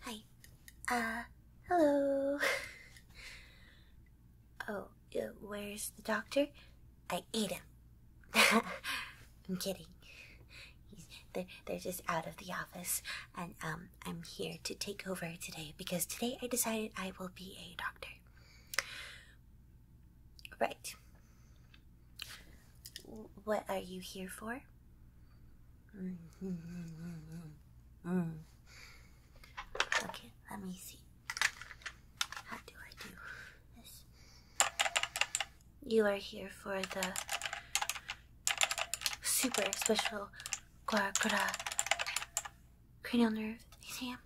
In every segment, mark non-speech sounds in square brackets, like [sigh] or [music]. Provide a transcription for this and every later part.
Hi. Uh, hello. [laughs] oh, uh, where's the doctor? I ate him. [laughs] I'm kidding. they're, they're just out of the office, and um, I'm here to take over today because today I decided I will be a doctor. Right. What are you here for? Okay, let me see. How do I do You are here for the super special Guaracura cranial nerve exam.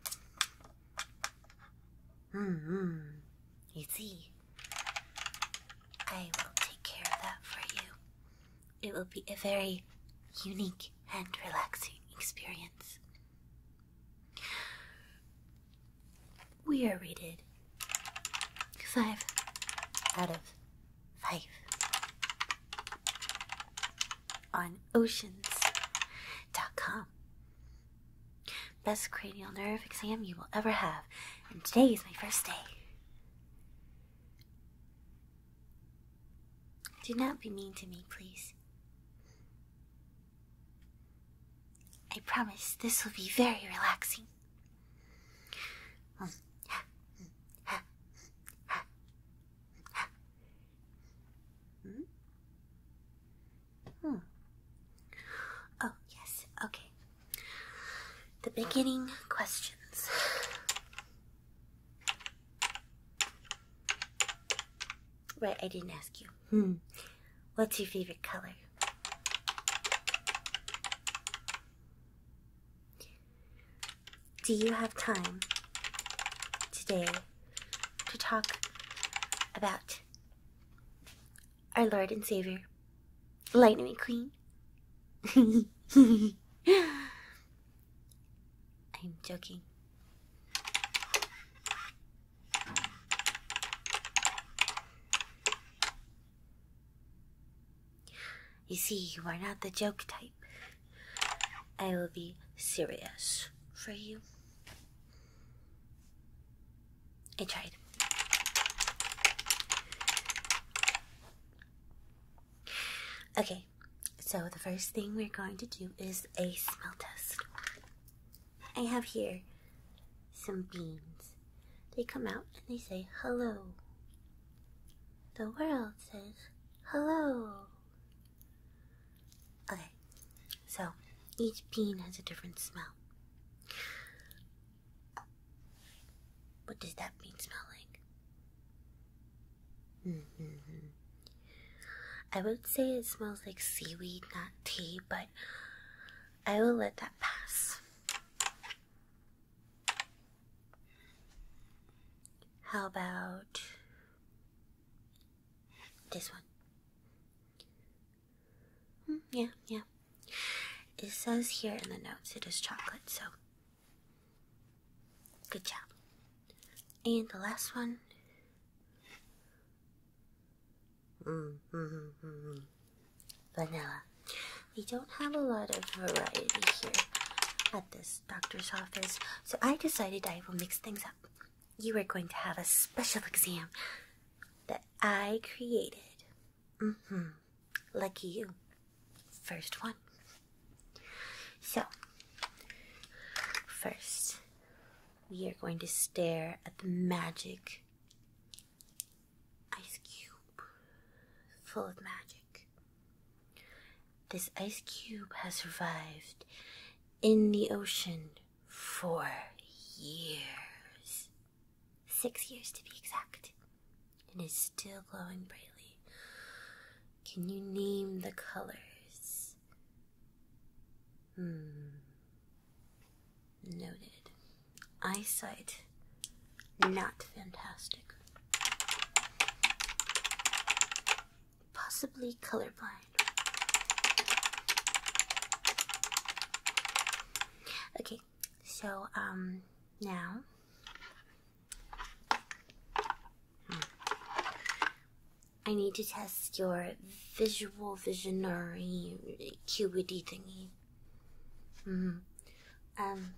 hmm. You see, I will take care of that for you. It will be a very unique and relaxing experience. We are rated five out of five on oceans.com. Best cranial nerve exam you will ever have and today is my first day. Do not be mean to me, please. I promise this will be very relaxing. Hmm? Hmm. Oh, yes, okay. The beginning questions. Right, I didn't ask you. Hmm. What's your favorite color? Do you have time today to talk about our Lord and Savior, Lightning Queen. [laughs] I'm joking. You see, you are not the joke type. I will be serious for you. I tried. Okay, so the first thing we're going to do is a smell test. I have here some beans. They come out and they say hello. The world says hello. Okay, so each bean has a different smell. What does that mean, smelling? Mm I would say it smells like seaweed, not tea, but I will let that pass. How about this one? Hmm, yeah, yeah. It says here in the notes it is chocolate, so good job. And the last one. Mm, mm, mm, Vanilla. We don't have a lot of variety here at this doctor's office, so I decided I will mix things up. You are going to have a special exam that I created. Mm hmm. Lucky you. First one. So, first, we are going to stare at the magic ice cube full of magic. This ice cube has survived in the ocean for years. Six years to be exact. It is still glowing brightly. Can you name the colors? Hmm. Noted. Eyesight. Not fantastic. Possibly colorblind. Okay, so, um, now. I need to test your visual visionary acuity thingy. Mm-hmm. Um,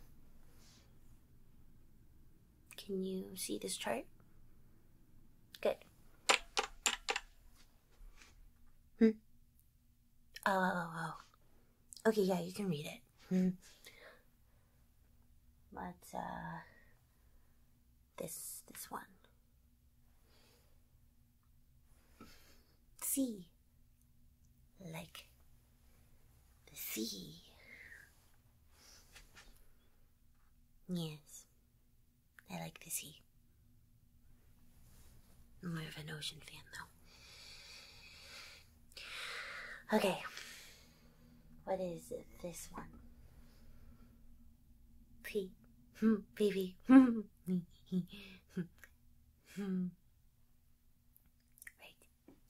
can you see this chart? Good. Hmm. oh. oh, oh, oh. Okay, yeah, you can read it. but hmm. uh, this this one. Sea, like the sea. Yes, I like the sea more of an ocean fan, though. Okay. What is this one? P. Baby. [laughs] [laughs]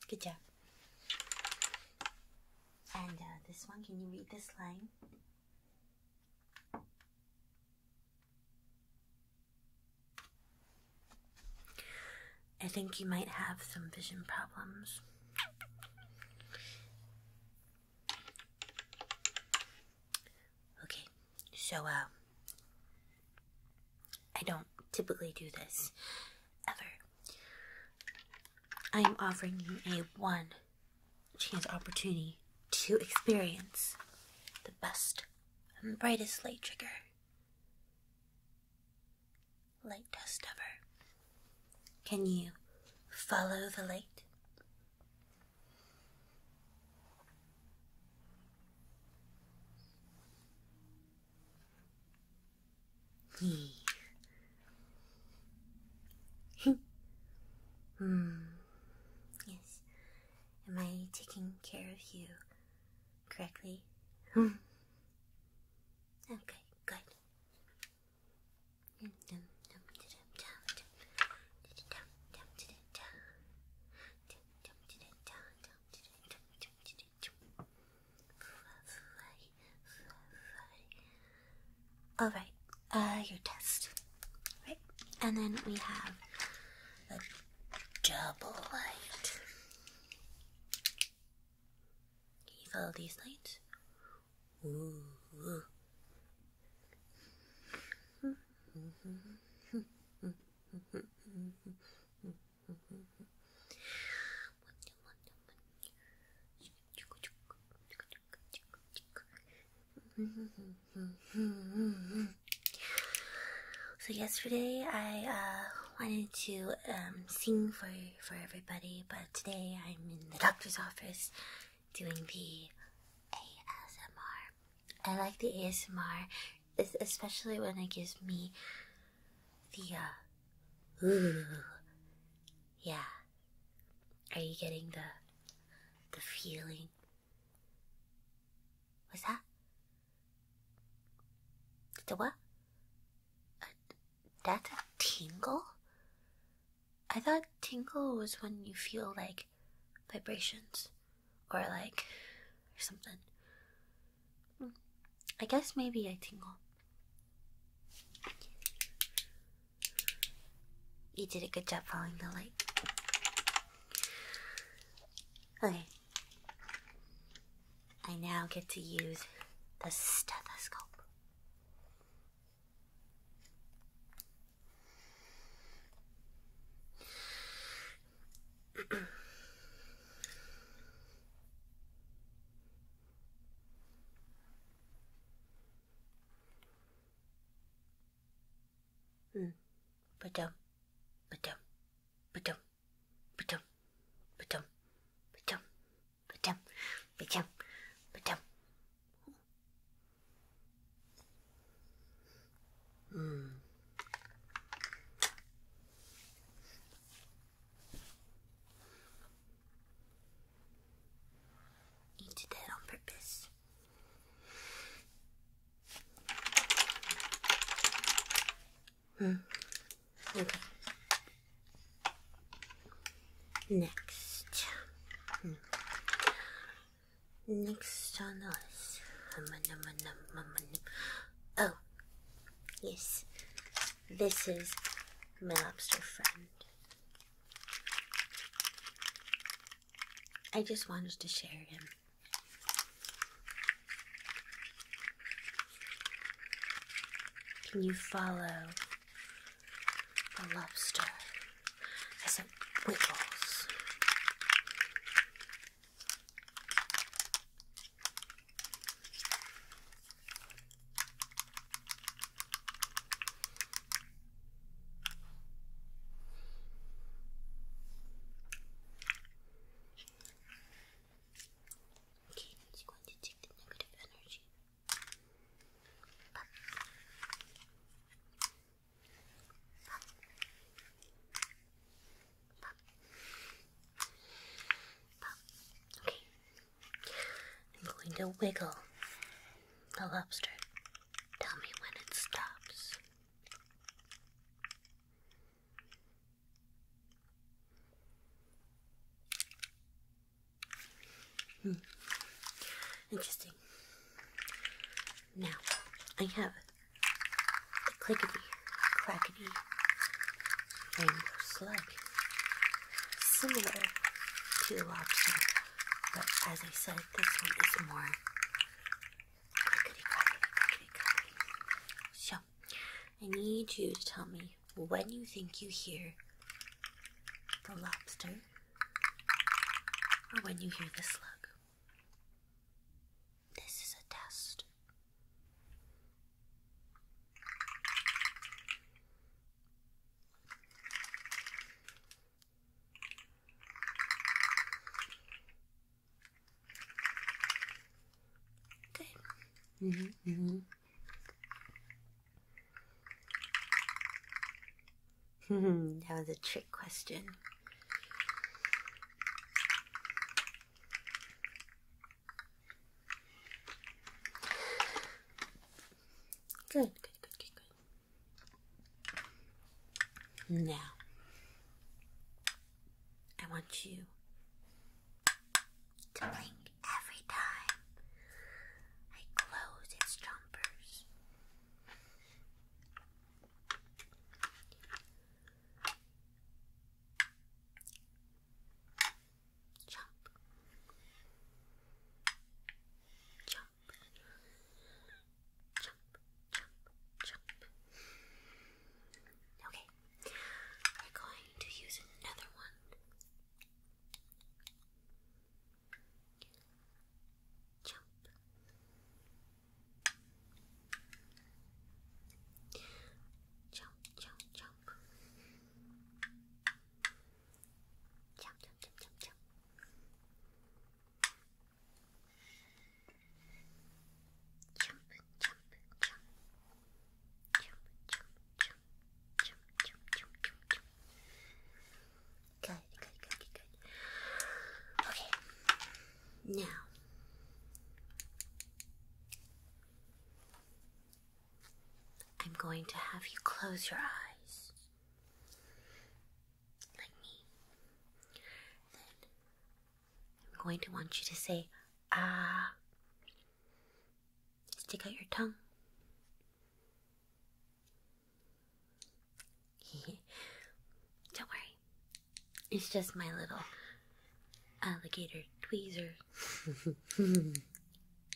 Good job. And uh, this one, can you read this line? I think you might have some vision problems. Okay, so, uh, I don't typically do this ever. I am offering you a one chance opportunity to experience the best and brightest light trigger Light dust ever. Can you follow the light? Hmm. [laughs] hmm. Yes. Am I taking care of you correctly? okay, good. All right, uh, your test, right? And then we have double light. you follow these lights? ooh. [laughs] [laughs] so yesterday I uh, wanted to um, sing for for everybody, but today I'm in the doctor's office doing the ASMR. I like the ASMR, especially when it gives me the uh, [laughs] yeah. Are you getting the the feeling? What's that? The what? Uh, that's a tingle? I thought tingle was when you feel like vibrations or like or something. I guess maybe I tingle. You did a good job following the light. Okay. I now get to use the stethoscope. [clears throat] mm, but um, Ba-dum, ba-dum, ba-dum, ba-dum, ba-dum, ba-dum, ba-dum, ba-dum. Hmm. You did that on purpose. Hmm. Okay. Next. Hmm. Next on the Oh, yes. This is my lobster friend. I just wanted to share him can you follow the lobster as it wiggles? Okay, I'm going to take the negative energy. Okay. I'm going to wiggle the lobster. Tell me when it stops. Hmm. Interesting. Now, I have the clickety, crackety rainbow slug, similar to the lobster, but as I said, this one is more so, I need you to tell me when you think you hear the lobster or when you hear the slug. This is a test. Okay. Mm -hmm, -hmm. [laughs] that was a trick question. Good, good, good, good, good. Now, I want you to blink every time I close its jumpers. Jump. Jump jump, jump, jump. Okay, we're going to use another one. jump. Jump, jump, jump, jump, jump. Jump, jump, jump, jump jump, jump, jump. Good, good, good, good, good. Okay, now I'm going to have you close your eyes like me. Then I'm going to want you to say, ah. Stick out your tongue. [laughs] Don't worry. It's just my little alligator tweezer. [laughs]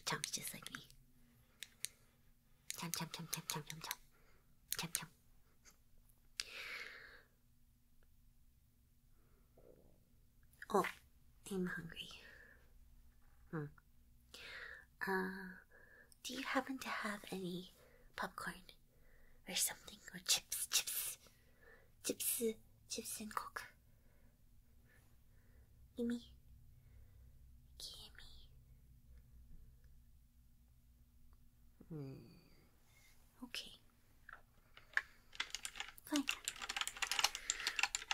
Chomp, just like me. Chomp, chomp, chomp, chomp, chomp, chomp, chomp. Chomp, chomp. Oh, I'm hungry. Hmm. Uh, do you happen to have any popcorn or something or chips, chips, chips, chips and coke? Give me, give me. Hmm. Okay. Like,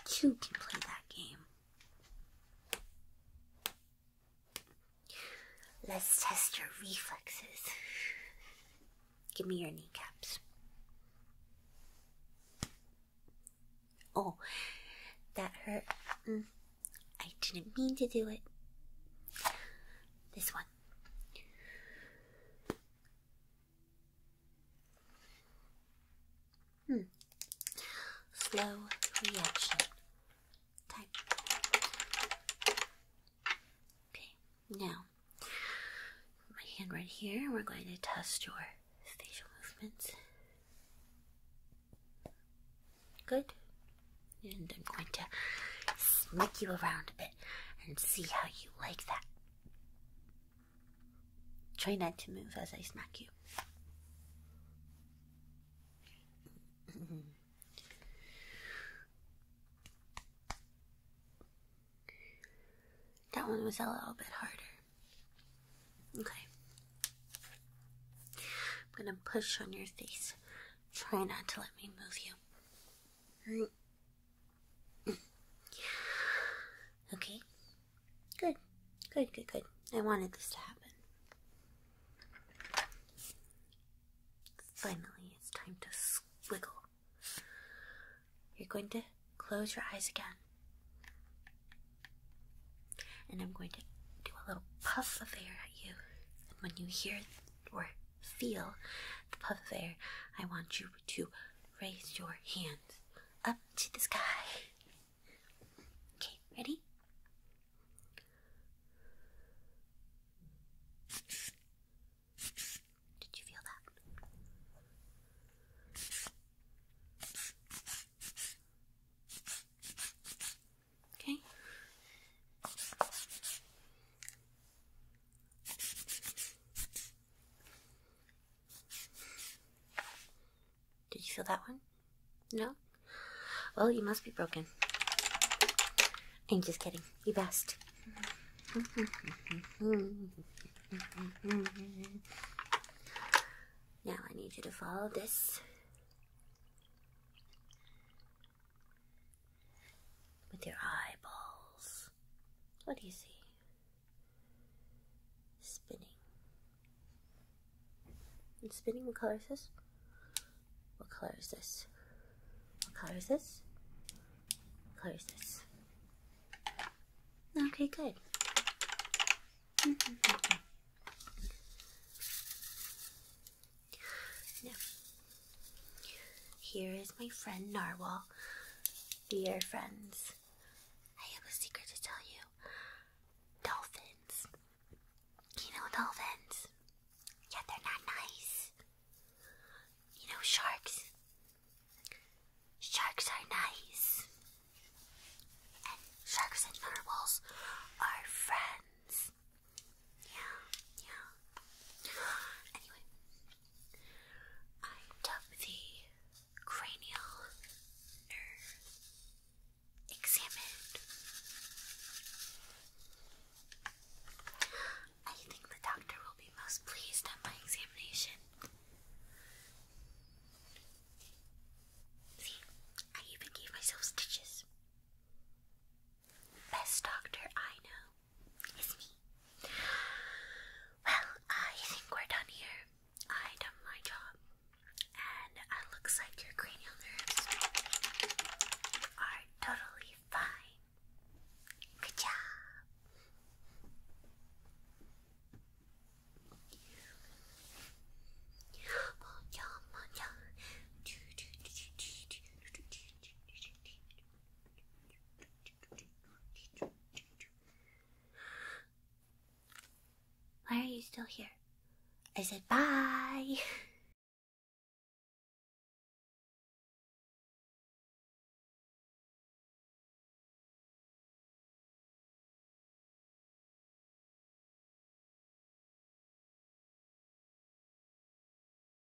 two can play that game. Let's test your reflexes. Give me your kneecaps. Oh, that hurt. Mm, I didn't mean to do it. This one. Hmm. Slow reaction Okay, now my hand right here, we're going to test your facial movements. Good. And I'm going to smack you around a bit and see how you like that. Try not to move as I smack you. that one was a little bit harder. Okay. I'm gonna push on your face. Try not to let me move you. [sighs] okay. Good. Good, good, good. I wanted this to happen. Finally, it's time to squiggle. You're going to close your eyes again. And I'm going to do a little puff of air at you. And when you hear or feel puff of air, I want you to raise your hands up to the sky. Okay, ready? Did you feel that? Okay. Did you feel that one? No? Well, you must be broken. I'm just kidding. You best. Now I need you to follow this with your eyeballs. What do you see? Spinning. It's spinning. What color is this? What color is this? What color is this? What color is this? Okay, good. [laughs] Now, here is my friend Narwhal. Dear friends. I have a secret to tell you. Dolphins. You know dolphins? Yeah, they're not nice. You know sharks? Sharks are nice. sharks and narwhals are friends. Yeah, yeah. Anyway, I took the cranial nerve examined. I think the doctor will be most pleased at my examination. See, I even gave myself stitches. Best doctor I know is me. Well, I think we're done here. I done my job, and looks like your cranial nerves are totally fine. Good job. Why are you still here? I said bye.